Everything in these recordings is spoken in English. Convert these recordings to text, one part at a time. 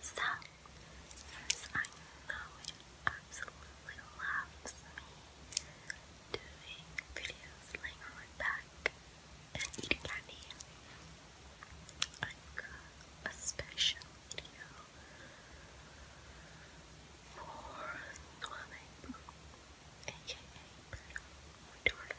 So, since I know it absolutely loves me doing videos laying on back and eating candy, i got a special video for Noelle, aka Bruno,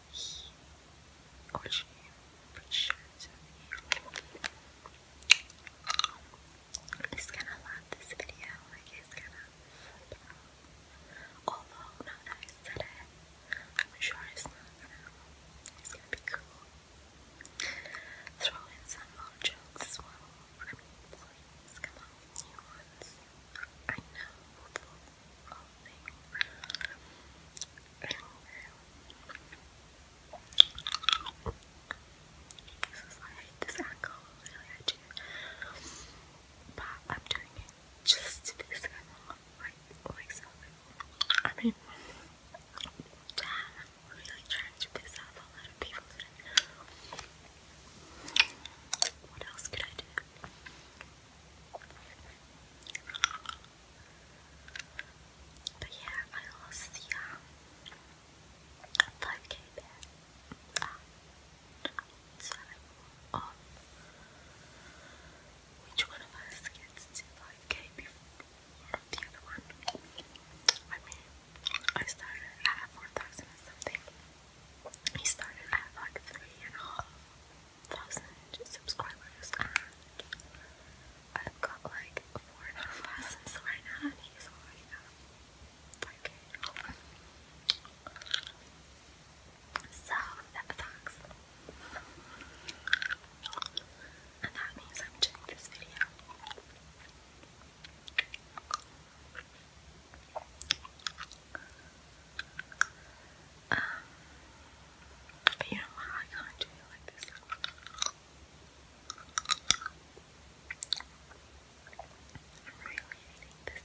he or she appreciates you. He's gonna love this video, like he's gonna Although now that I said it, I'm sure it's not it's gonna be cool. Throw in some more jokes as well. I mean come on with new ones. I know and then, I hate this angle, really, I do. But I'm doing it just to this camera, like, like so. I mean, damn, really trying to piss off a lot people What else could I do? But yeah, I lost the 5k um, bet. Um, which one of us gets to 5k before the other one. I mean, I started at 4,000 something. He started at like three and a half thousand subscribers I've got like four and a half thousand right now he's already at So that sucks. And that means I'm doing this video. Um, you know I can't do it like this. i really hating this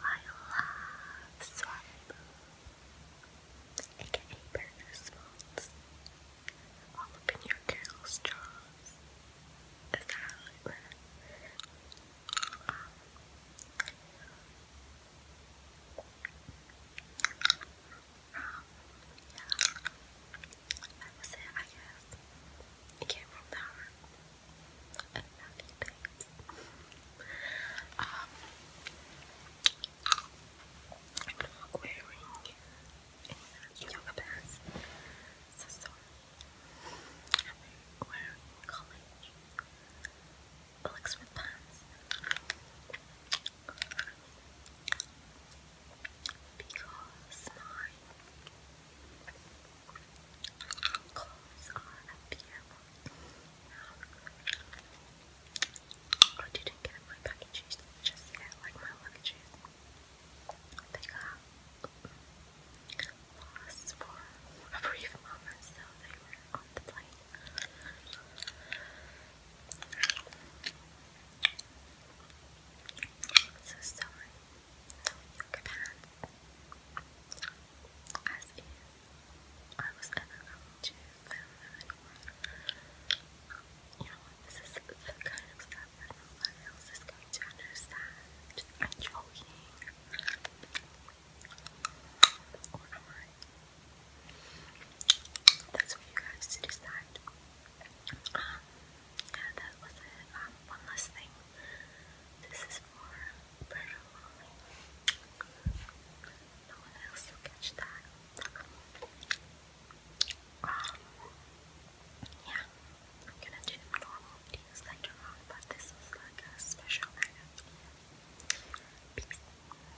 I love Swap, aka Burger Smalls. All up in your girl's jaws. Is that that was it, I guess. came from the heart. Um, I'm wearing yoga pants. So sorry. I'm wearing college Looks with pants because my calls are unbearable. Um, I didn't get my packages just yet, like my luggages. They got lost for a brief moment, so they were on the plane. So sorry. No yoga pants. As in, I was ever going to You know, this is the kind of stuff that no one else is going to understand. I'm joking. Or am I? That's for you guys to decide. Um, yeah, that was it. Um, one last thing. This is for Berto only. No one else will catch that. Um, yeah, I'm gonna do normal videos later on, but this was like a special Peace.